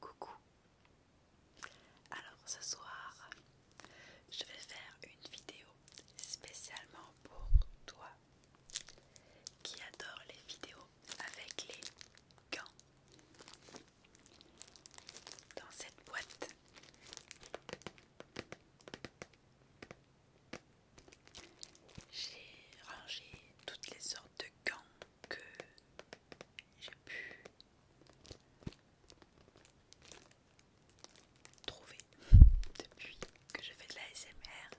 Coucou. Alors ce soir, je vais faire une vidéo spécialement pour toi qui adore les vidéos avec les gants. Dans cette boîte, j'ai rangé toutes les sortes de gants que j'ai pu trouver depuis que je fais de la SMR.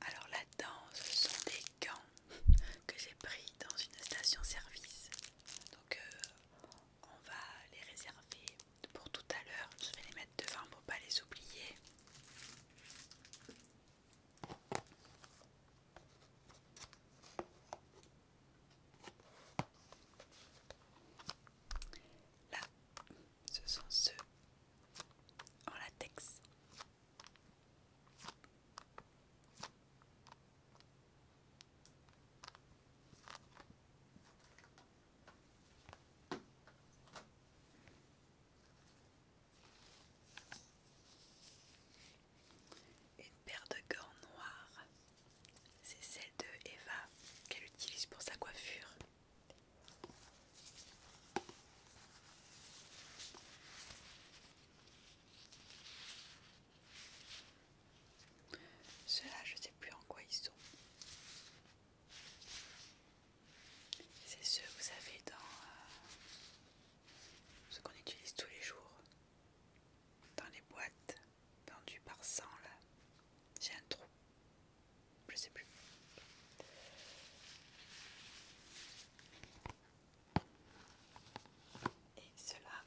Alors là-dedans, ce sont des gants que j'ai pris dans une station-service. Donc euh, on va les réserver pour tout à l'heure. Je vais les mettre devant pour pas les oublier. Là, ce sont ceux en latex. Une paire de gants noirs, c'est celle de Eva qu'elle utilise pour sa coiffure. Ceux-là, je ne sais plus en quoi ils sont. C'est ce que vous avez dans euh, ce qu'on utilise tous les jours, dans les boîtes, dans par sang. là. J'ai un trou, je sais plus. Et cela.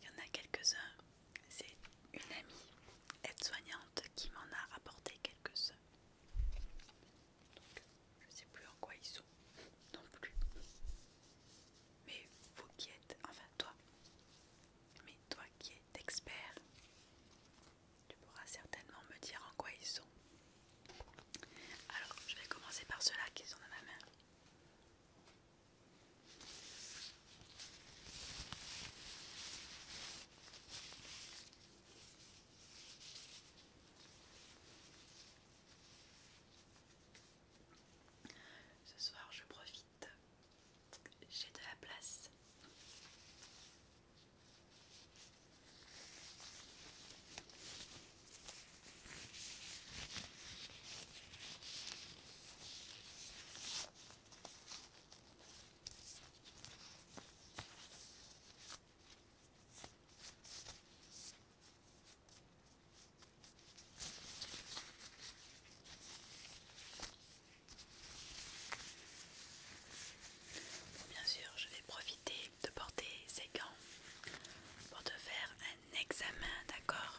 Il y en a quelques-uns, c'est une amie aide-soignante qui m'en a rapporté quelques-uns. Donc, je ne sais plus en quoi ils sont non plus. Mais vous qui êtes, enfin toi, mais toi qui es expert, tu pourras certainement me dire en quoi ils sont. Alors, je vais commencer par ceux-là qui sont dans ma main. Ce soir, je profite, j'ai de la place. Bien sûr, je vais profiter de porter ces gants pour te faire un examen, d'accord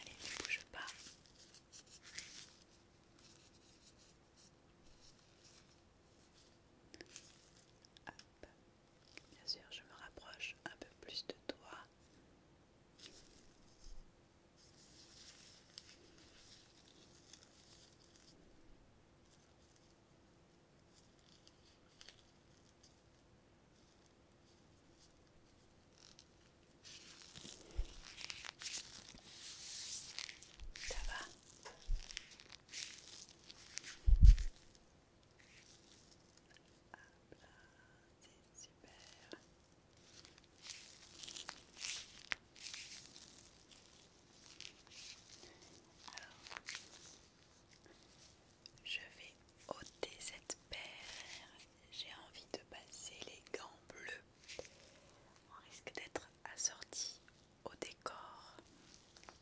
Allez, ne bouge pas. Bien sûr, je me rapproche un peu plus de toi. Ça va Ah, là, c'est super. Alors, je vais ôter cette paire j'ai envie de passer les gants bleus. On risque d'être assorti au décor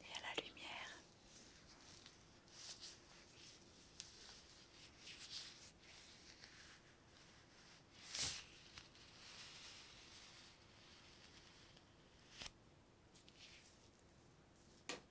et à la lumière.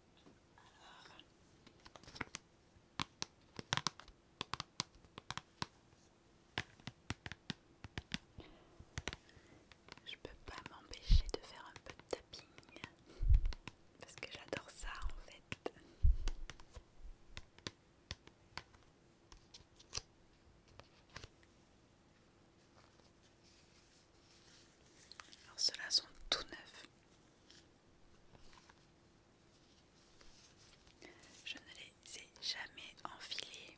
Alors. Je peux pas m'empêcher de faire un peu de tapping parce que j'adore ça en fait. Alors ceux sont tout neufs. Je ne les ai jamais enfilés.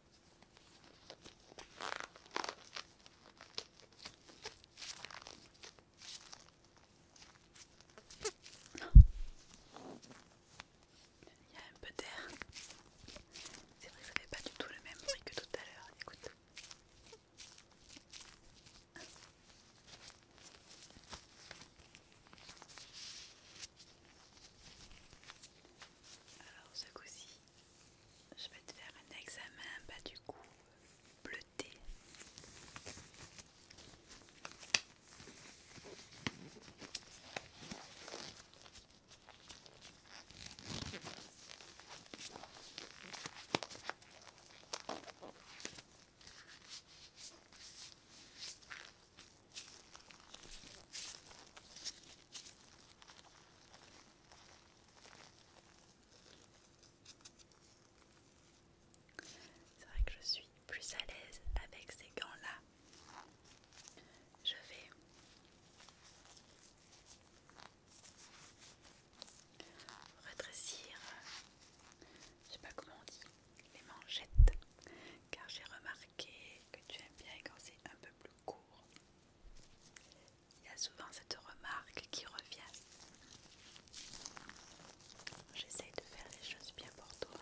Il y a un peu d'air. C'est vrai que ça fait pas du tout le même bruit que tout à l'heure. Écoute. Alors ce coup-ci, je vais te faire un examen pas bah, du coup, bleuté. C'est vrai que je suis plus à l'aise avec ces gants-là. Je vais rétrécir, je sais pas comment on dit, les manchettes, car j'ai remarqué que tu aimes bien quand c'est un peu plus court. Il y a souvent cette remarque qui revient. J'essaye de faire les choses bien pour toi.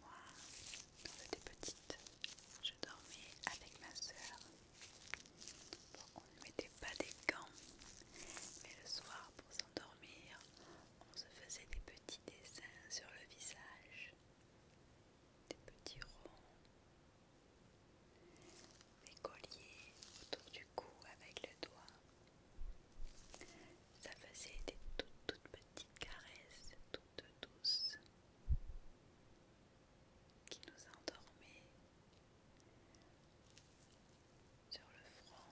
Moi, quand j'étais petite, je dormais avec ma sœur on ne mettait pas des gants, mais le soir pour s'endormir, on se faisait des petits dessins sur le visage, des petits ronds, des colliers autour du cou avec le doigt. Ça faisait des toutes, toutes petites caresses, toutes douces qui nous a sur le front.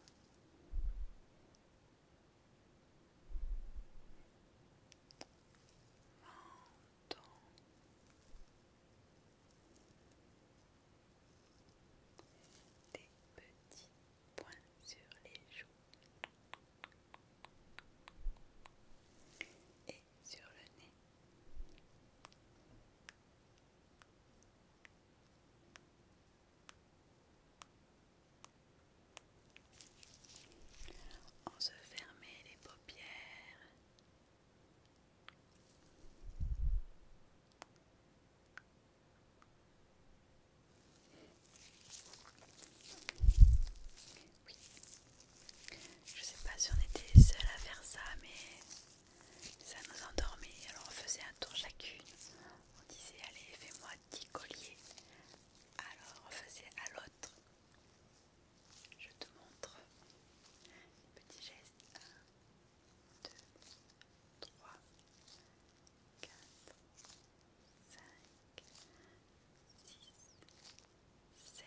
Menton. Des petits points sur les joues sur le nez. On se fermer les paupières. Oui. Je sais pas si on était seuls à faire ça, mais ça nous endormait. Alors on faisait un tour chacune. On disait allez fais-moi 10 colliers. Alors on faisait à l'autre. Je te montre. Petit geste. 1, 2, 3, 4, 5, 6, 7,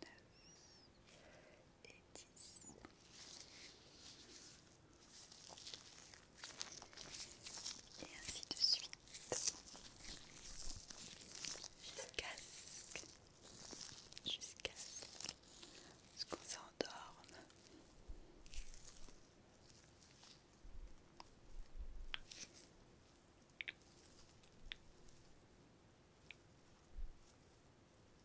9 et 10. Et ainsi de suite. Jusqu'à ce, ce qu'on s'endorme.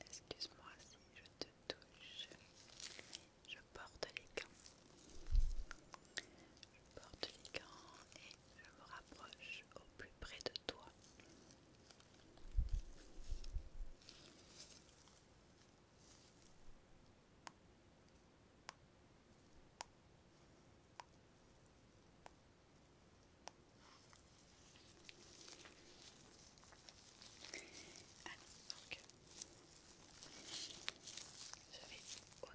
Excuse-moi si je te touche. Je porte les gants. Je porte les gants je me rapproche au plus près de toi. donc, je vais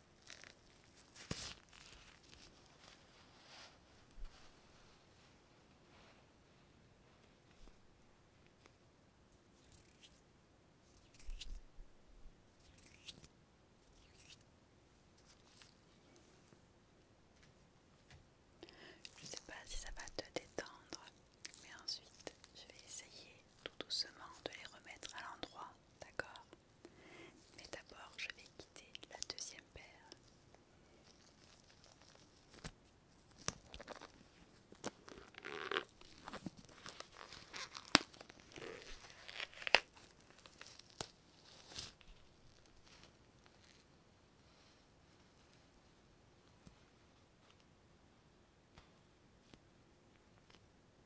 Je ne sais pas si ça va te détendre, mais ensuite je vais essayer tout doucement de les remettre à l'endroit, d'accord mais d'abord, je vais quitter la deuxième paire.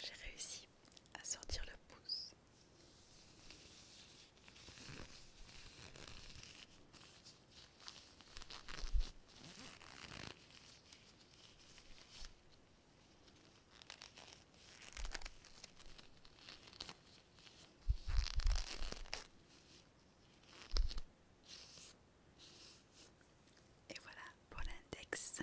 J'ai réussi à sortir le pouce. Et voilà pour l'index.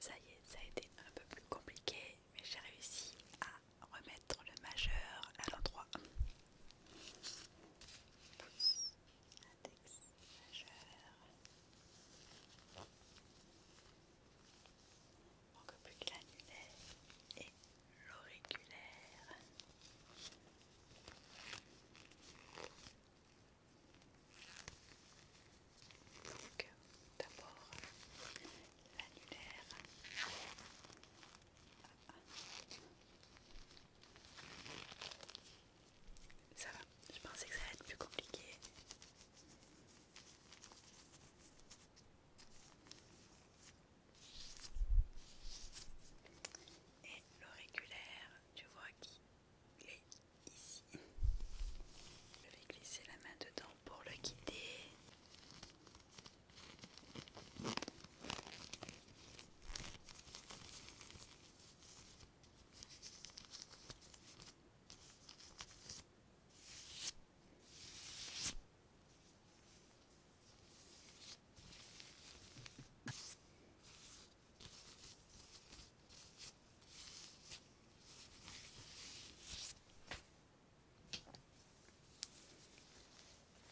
Ça y est, ça a été un peu plus compliqué, mais j'ai réussi à remettre le majeur à l'endroit manque plus que l'annulaire et l'auriculaire. Donc d'abord l'annulaire. Ça va, je pensais que ça allait être plus compliqué. Et l'auriculaire, tu vois qui est ici. Je vais glisser la main dedans pour le guider.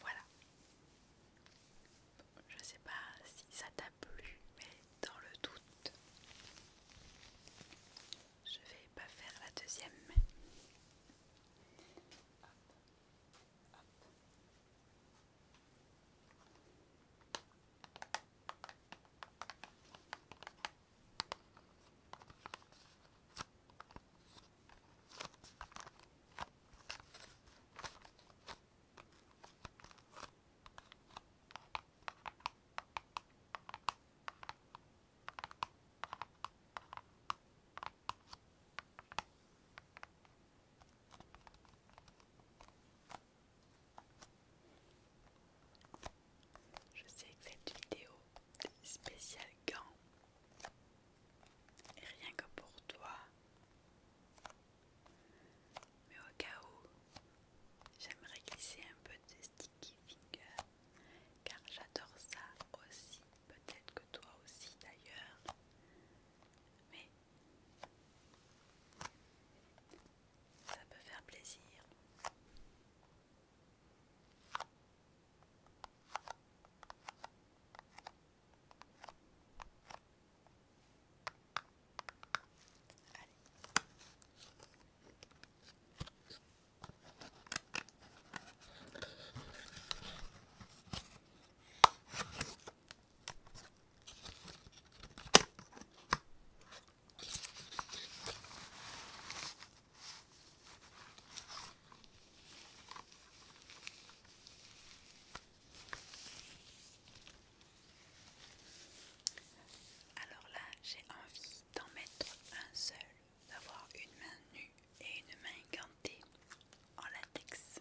Voilà. Je sais pas si ça t'a plu, mais dans le doute, je vais pas faire la deuxième. Je sais que cette vidéo spéciale gant est rien que pour toi, mais au cas où, j'aimerais glisser un peu de sticky finger car j'adore ça aussi, peut-être que toi aussi d'ailleurs, mais ça peut faire plaisir. Alors là, j'ai envie d'en mettre un seul, d'avoir une main nue et une main gantée en latex.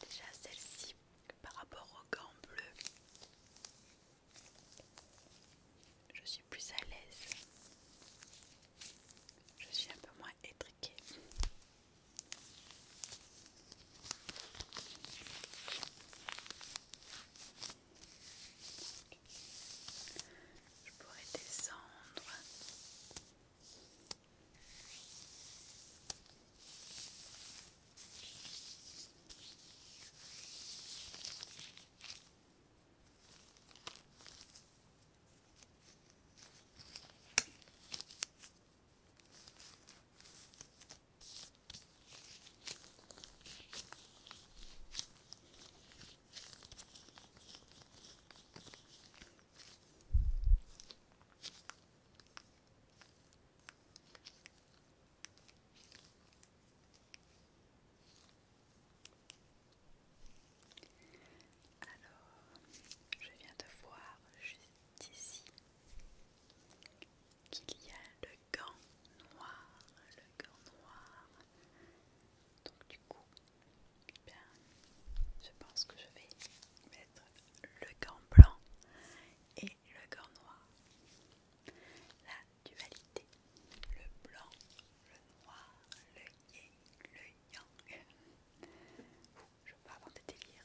Déjà celle-ci par rapport au gant bleu, je suis plus à l'aise. Je suis un peu moins étriquée. Je pourrais descendre. Alors, je viens de voir juste ici qu'il y a le gant noir, le gant noir donc du coup, eh je pense que je vais mettre le gant blanc et le gant noir. La dualité, le blanc, le noir, le yin, le yang. je vois avoir de délire.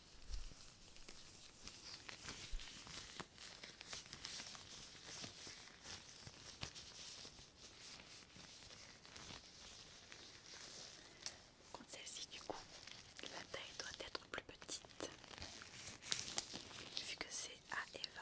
celle-ci, du coup, la taille doit être plus petite vu que c'est à Eva.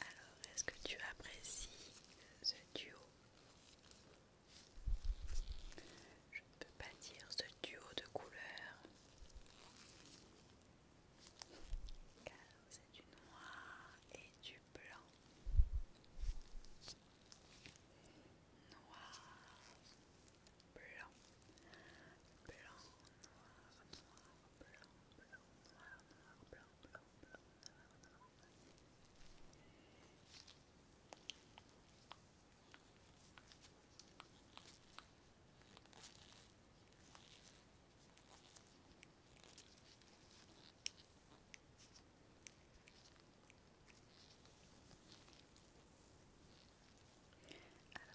Alors, est-ce que tu apprécies ce duo Je ne peux pas dire ce duo de couleurs, car c'est du noir et du blanc. Noir, blanc, blanc, noir, noir, blanc, blanc, noir, noir, blanc. Alors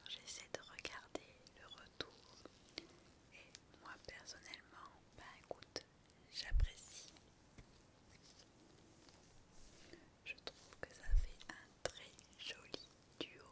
j'essaie de regarder le retour moi personnellement, ben écoute, j'apprécie. Je trouve que ça fait un très joli duo.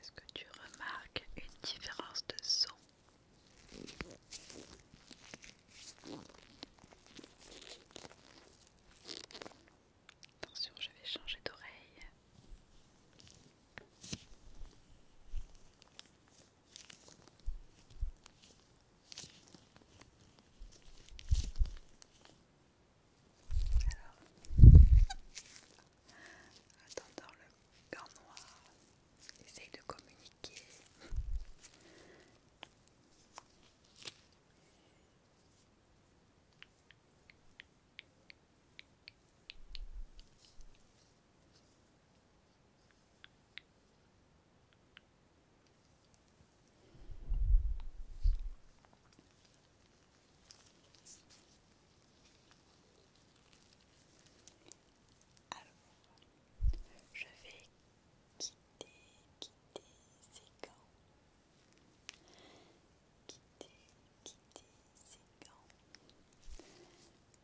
Est-ce que tu remarques une différence de son Attention, je vais changer d'oreille. Alors, attendant le corps noir, essaye de communiquer. Alors, je vais quitter, quitter ces gants. Quitter, quitter ces gants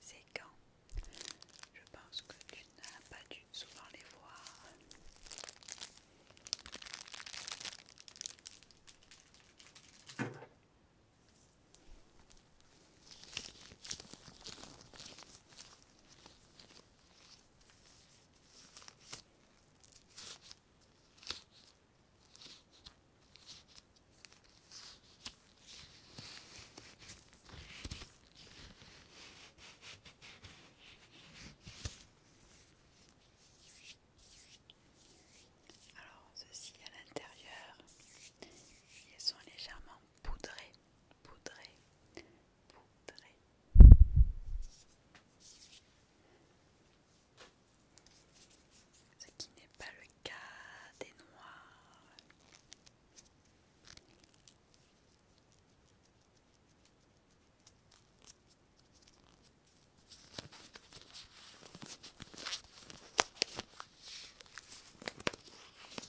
c'est quand je pense que tu n'as pas dû souvent les voir alors ceci à l'intérieur, ils sont légèrement poudrer poudrer poudrer Ce qui n'est pas le cas des noirs.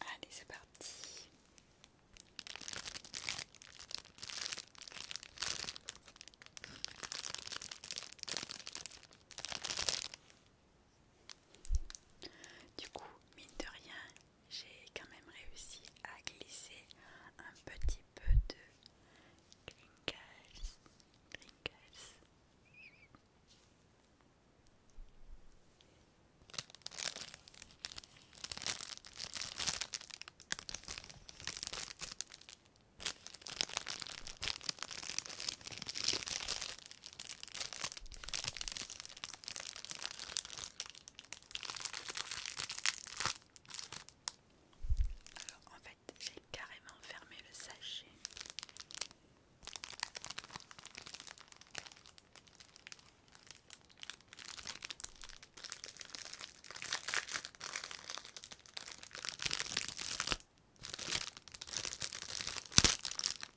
Allez, c'est parti. Du coup, mine de rien, j'ai quand même réussi à glisser un petit peu de en fait, j'ai carrément fermé le sachet.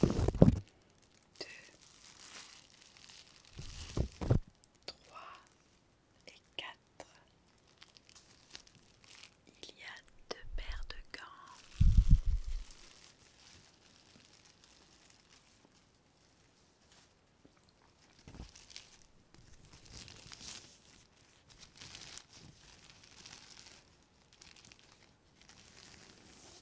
2, 3 et 4. Il y a deux paires de gants.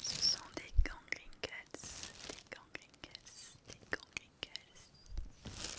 Ce sont des Gangling Cats, des Gangling Cats, des Gangling Cats.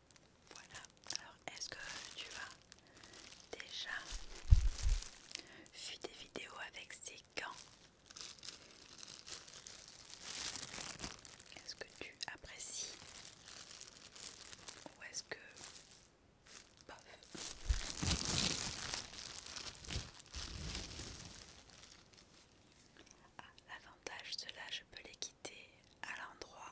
Voilà, alors est-ce que tu as déjà vu des vidéos avec ces gants Est-ce que tu apprécies Ou est-ce que... Bof. Ah, l'avantage cela là, je peux les quitter à l'endroit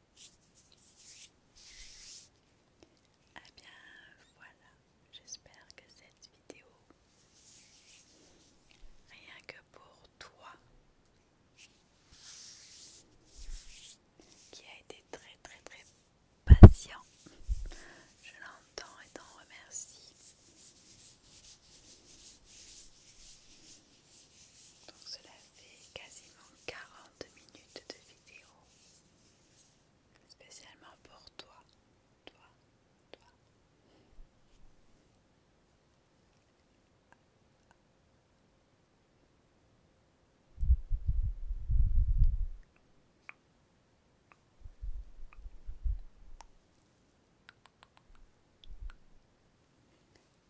Ah bien voilà, j'espère que cette vidéo, rien que pour toi, qui a été très très très patient, je l'entends et t'en remercie. Donc cela fait quasiment 40 minutes de vidéo. Spécialement pour toi, toi, toi.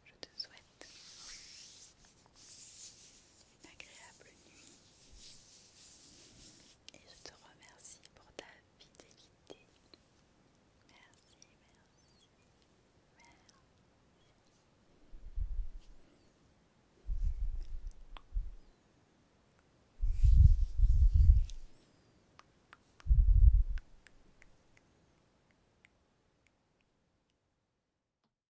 Je te souhaite une agréable nuit et je te remercie pour ta fidélité. Merci, merci, merci.